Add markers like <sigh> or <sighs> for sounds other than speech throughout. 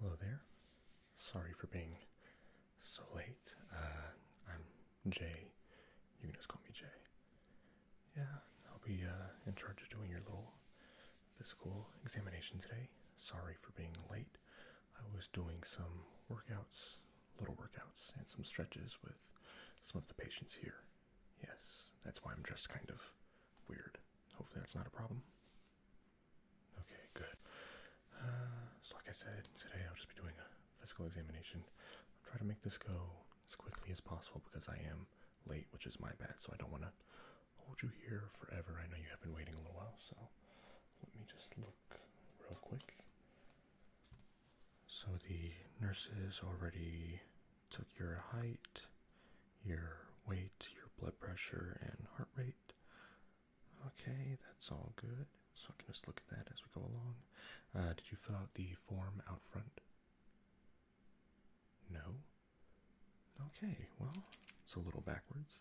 Hello there. Sorry for being so late. Uh, I'm Jay. You can just call me Jay. Yeah, I'll be uh, in charge of doing your little physical examination today. Sorry for being late. I was doing some workouts, little workouts, and some stretches with some of the patients here. Yes, that's why I'm dressed kind of weird. Hopefully, that's not a problem. Okay, good. Uh, so, like I said, today I'll just be doing a physical examination. I'll try to make this go as quickly as possible because I am late, which is my bad. So I don't want to hold you here forever. I know you have been waiting a little while. So let me just look real quick. So the nurses already took your height, your weight, your blood pressure, and heart rate. Okay, that's all good. So I can just look at that as we go along. Uh, did you fill out the form out front? No? Okay, well, it's a little backwards,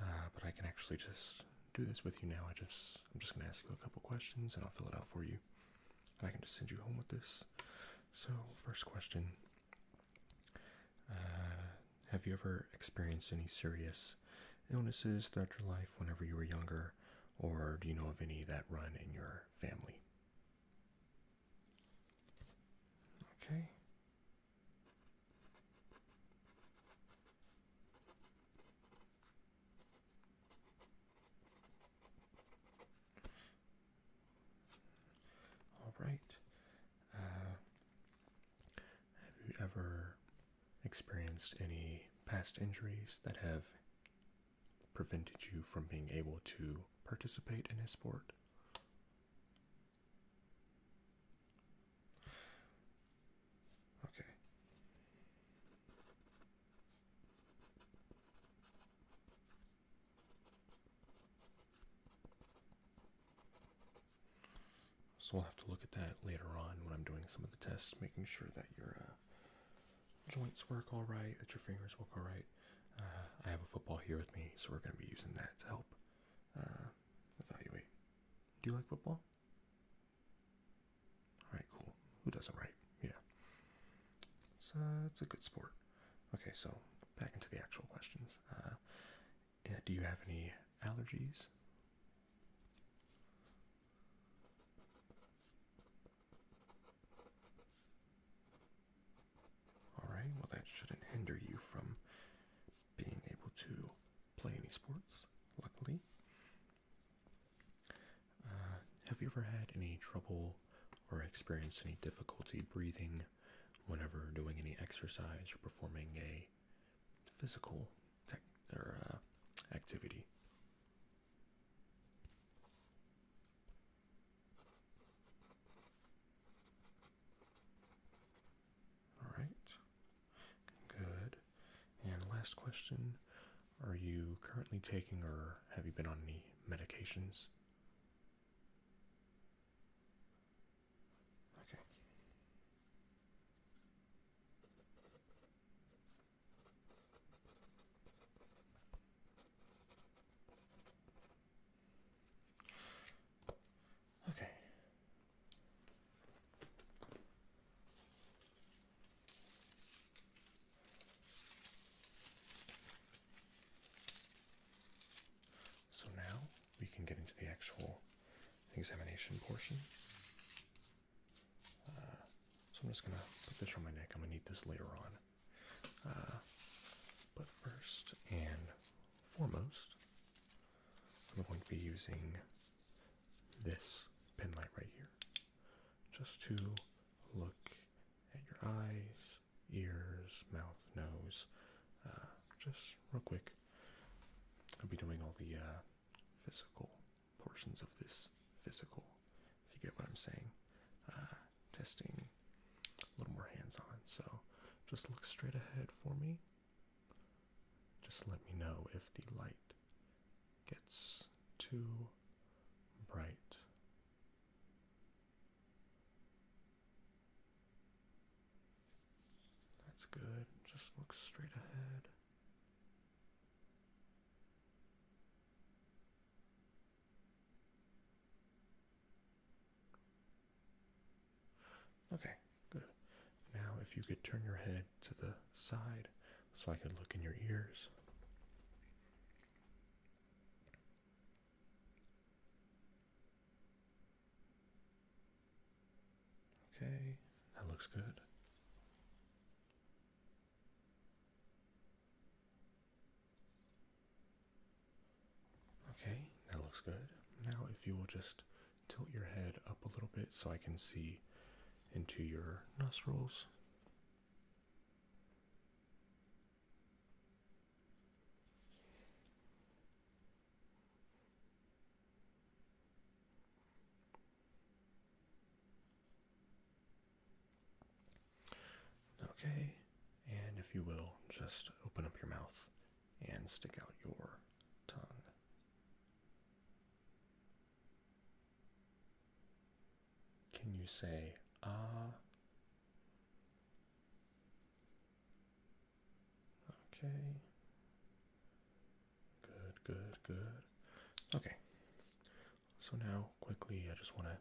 uh, but I can actually just do this with you now. I just, I'm just gonna ask you a couple questions and I'll fill it out for you. I can just send you home with this. So, first question uh, Have you ever experienced any serious illnesses throughout your life whenever you were younger, or do you know of any that run in your family? Okay. All right. Uh, have you ever experienced any past injuries that have prevented you from being able to participate in a sport? Okay. So we'll have to look at that later on when I'm doing some of the tests, making sure that you're. Uh, joints work all right, that your fingers work all right. Uh, I have a football here with me, so we're going to be using that to help uh, evaluate. Do you like football? All right, cool. Who doesn't, right? Yeah. It's, uh, it's a good sport. Okay, so back into the actual questions. do you have any allergies? Alright, well, that shouldn't hinder you from being able to play any sports, luckily. Uh, have you ever had any trouble or experienced any difficulty breathing whenever doing any exercise or performing a physical uh, activity? All right. Good. And last question Are you currently taking or have you been on any medications? Okay. Okay. So now we can get into the actual examination portion so I'm just gonna put this on my neck. I'm gonna need this later on. Uh, but first and foremost, I'm going to be using this pin light right here just to look at your eyes, ears, mouth, nose. Uh, just real quick, I'll be doing all the uh, physical portions of this physical, if you get what I'm saying. Uh, testing a little more hands on. So just look straight ahead for me. Just let me know if the light gets too bright. That's good. Just look straight ahead. Okay, good. Now, if you could turn your head to the side so I could look in your ears. Okay, that looks good. Okay, that looks good. Now, if you will just tilt your head up a little bit so I can see into your nostrils. Okay, and if you will, just open up your mouth and stick out your tongue. Can you say ah? Okay. Good, good, good. Okay. So now, quickly, I just want to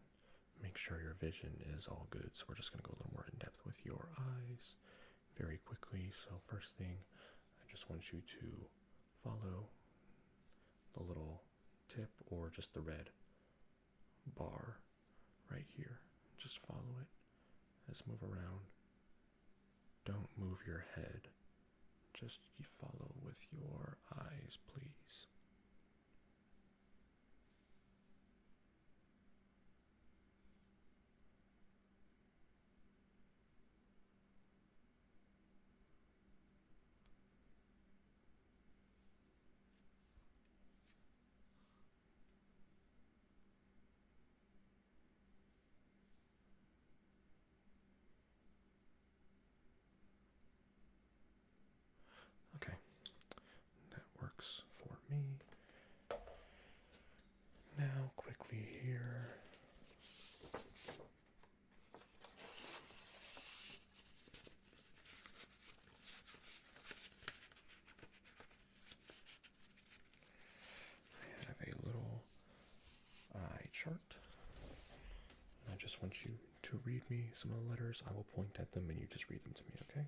make sure your vision is all good. So we're just going to go a little more in depth with your eyes very quickly. So, first thing, I just want you to follow the little tip or just the red bar right here. Just follow it. Let's move around. Don't move your head. Just follow with your eyes, please. Okay, that works for me. Now, quickly here. I have a little eye chart. I just want you to read me some of the letters. I will point at them and you just read them to me, okay?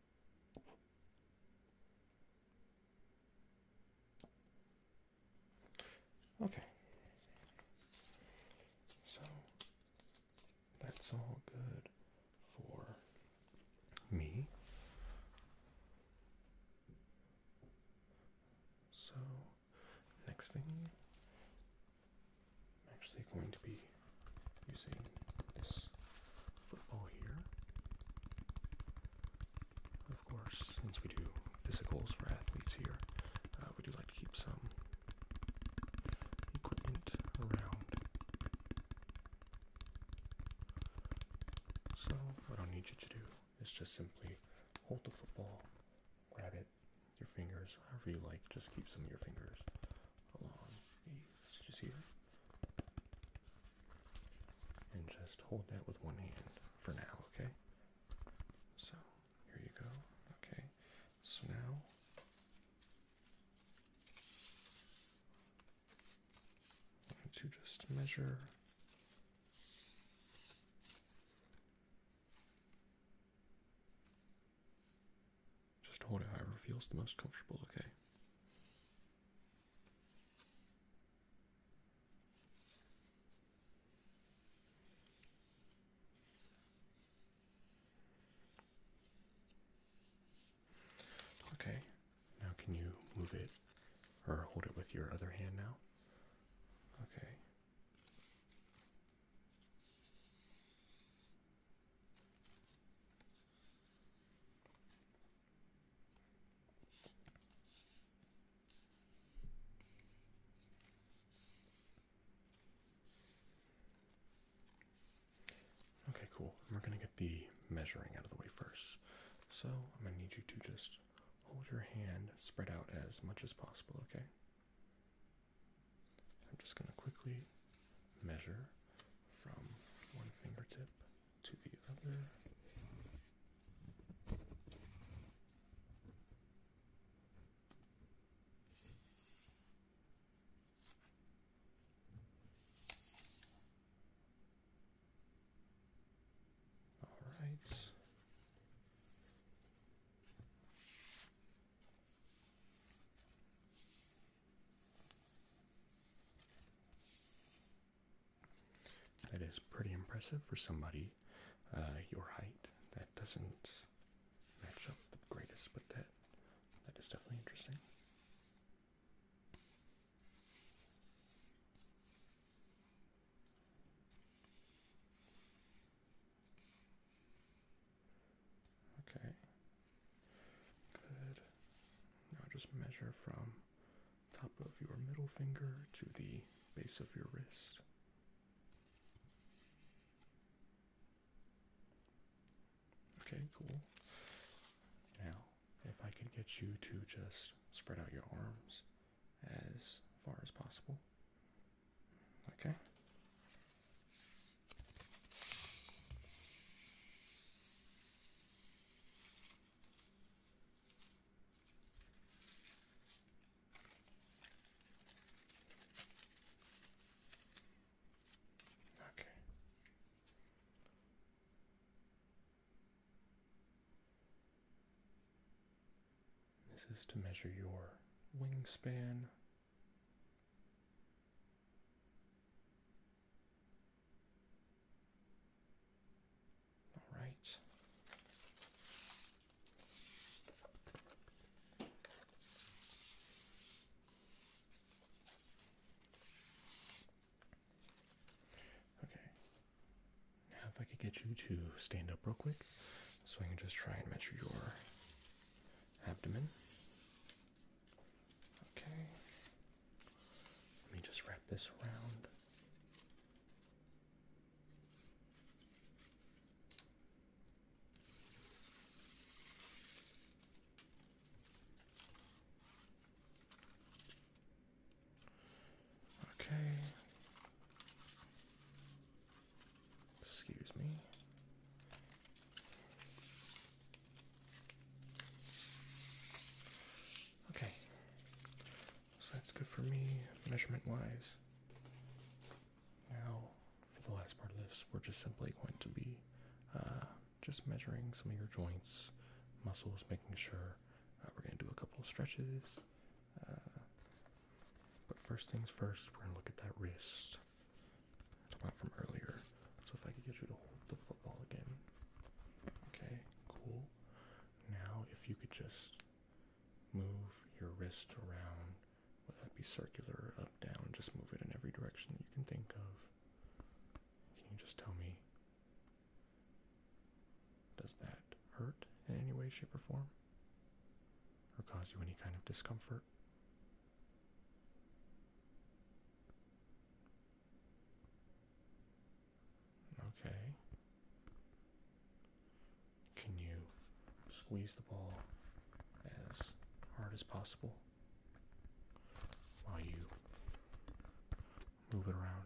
Okay. So that's all good for me. So next thing I'm actually going to be using this football here. Of course, since we do physicals for athletes here, uh, we do like to keep some equipment around. So, what I'll need you to do is just simply hold the football, grab it, your fingers, however you like, just keep some of your fingers along Okay, here. And just hold that with one hand for now, okay? So, here you go. Okay, so now. to just measure just hold it however feels the most comfortable, okay? Okay, now can you move it or hold it with your other hand now? Okay. Okay, cool. We're going to get the measuring out of the way first. So I'm going to need you to just hold your hand spread out as much as possible, okay? I'm just going to quickly measure from one fingertip to the other. All right. That is pretty impressive for somebody uh, your height. That doesn't match up the greatest, but that that is definitely interesting. Okay. Good. Now just measure from top of your middle finger to the base of your wrist. Okay, cool. Now, if I could get you to just spread out your arms as far as possible, Okay. Okay. This is to measure your wingspan all right. Okay. Now, if I could get you to stand up real quick so I can just try and measure your abdomen. Okay. Let me just wrap this around. Okay. Excuse me. Okay. So that's good for me measurement wise. Now, for the last part of this, we're just simply going to be uh, just measuring some of your joints, muscles, making sure uh, we're going to do a couple of stretches. Uh, but first things first, we're gonna look at that wrist. About from earlier. So if I could get you to hold the football again. Okay, cool. Now if you could just move your wrist around, whether that be circular up, down, just move it in every direction that you can think of. Can you just tell me? Does that hurt in any way, shape, or form? or cause you any kind of discomfort. Okay. Can you squeeze the ball as hard as possible while you move it around?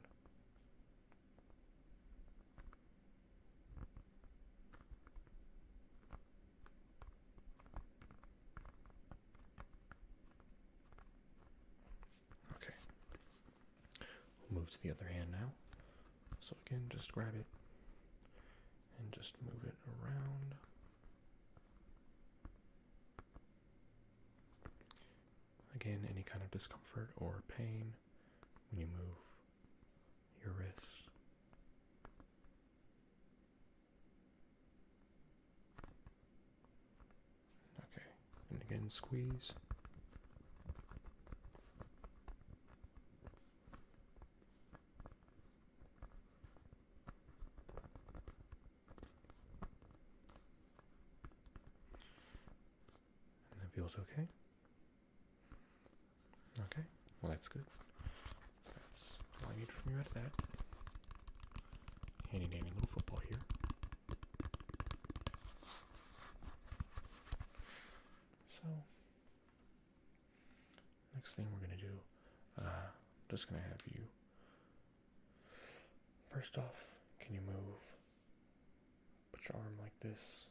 Okay. move to the other hand now. So again, just grab it and just move it around. Again, any kind of discomfort or pain when you move your wrists. Okay, and again, squeeze. And it feels okay. Okay, well that's good. That's all I need from you at that. Handy dandy little football here. So next thing we're gonna do, uh, just gonna have you. First off, can you move Put your arm like this.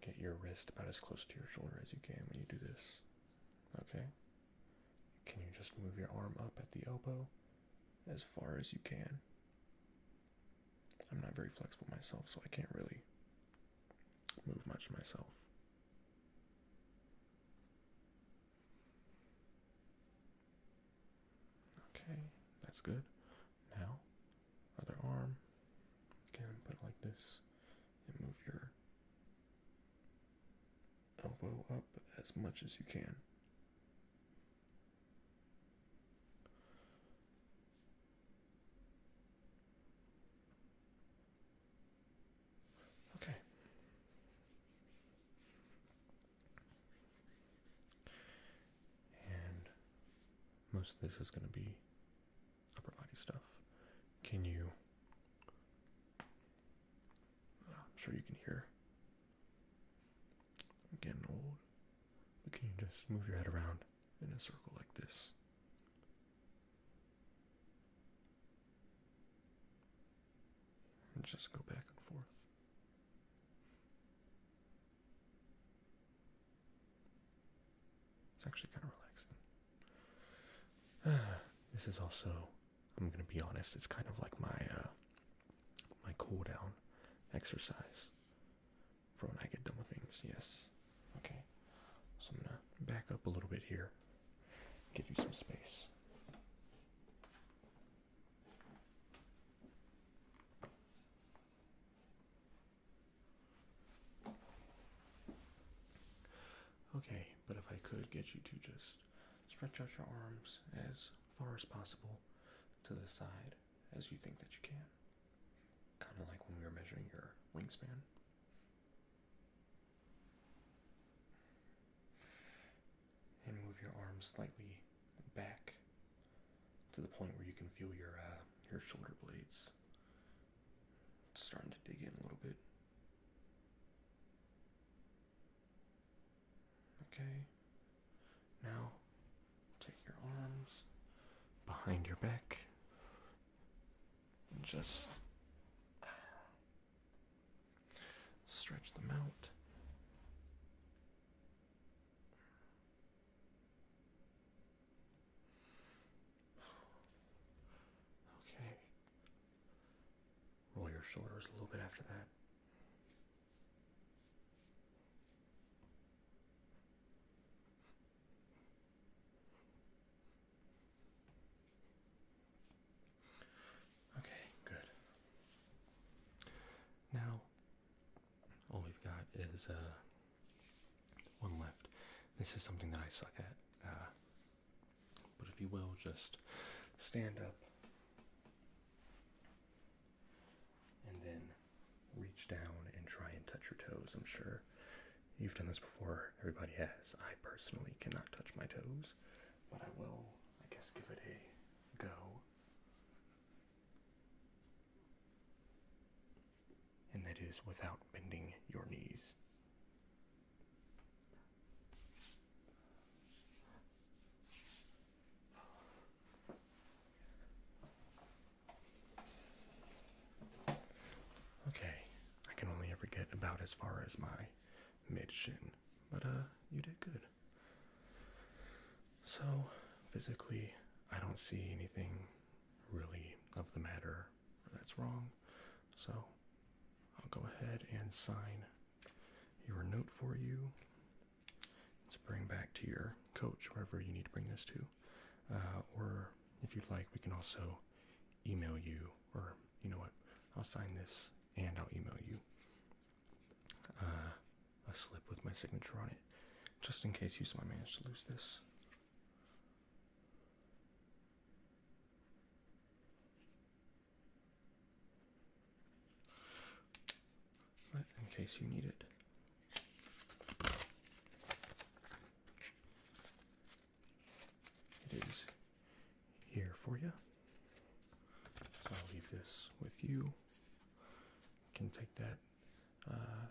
Get your wrist about as close to your shoulder as you can when you do this. Okay? Can you just move your arm up at the elbow as far as you can? I'm not very flexible myself, so I can't really move much myself. Okay, that's good now. Other arm. Okay, put it like this. And move your elbow up as much as you can. Okay. And most of this is going to be upper body stuff. Can you? I'm sure you can hear. I'm getting old. But can you just move your head around in a circle like this? And just go back and forth. It's actually kind of relaxing. <sighs> this is also, I'm gonna be honest, it's kind of like my uh, my cool down exercise for when I get done with things. Yes. Okay. So I'm gonna back up a little bit here, give you some space. Okay, but if I could get you to just stretch out your arms as far as possible to the side as you think that you can. Kind of like when we were measuring your wingspan. And move your arms slightly back to the point where you can feel your uh, your shoulder blades starting to dig in a little bit. Okay. Now take your arms behind your back and just stretch them out. Okay. Roll your shoulders a little bit after that. Okay, good. Now, all we've got is uh, one left. This is something that I suck at. Uh, but if you will, just stand up and then reach down and try and touch your toes. I'm sure you've done this before, everybody has. I personally cannot touch my toes, but I will, I guess, give it a go and that is without bending your knees. Okay, I can only ever get about as far as my mid shin, but uh, you did good. So, physically, I don't see anything really of the matter that's wrong. So, I'll go ahead and sign your note for you. Let's bring back to your coach, wherever you need to bring this to. Uh, or if you'd like, we can also email you, or you know what, I'll sign this and I'll email you. Uh, a slip with my signature on it, just in case you somehow manage to lose this. But in case you need it. It is here for you. So I'll leave this with you can take that uh,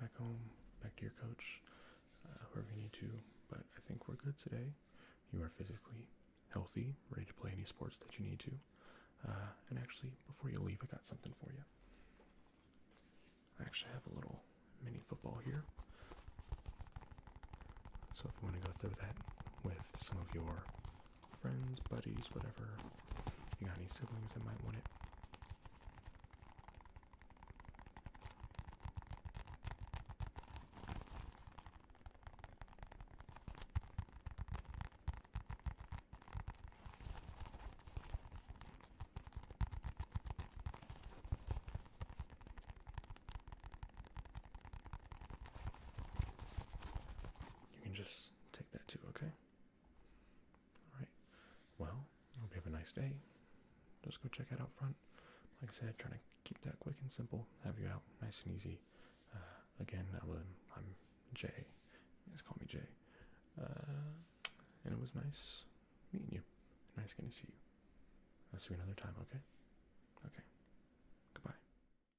back home, back to your coach, uh, you need to. But I think we're good today. You are physically healthy, ready to play any sports that you need to. Uh, and actually, before you leave, I got something for you. I actually have a little mini football here. So if you want to go through that with some of your friends, buddies, whatever. You got any siblings that might want it? You can just that too, okay? Alright. Well, I hope you have a nice day. Just go check it out front. Like I said, trying to keep that quick and simple. Have you out nice and easy. Uh, again, I will, I'm Jay. Just call me Jay. Uh, and it was nice meeting you. Nice getting to see you. I'll see you another time, okay? Okay. Goodbye.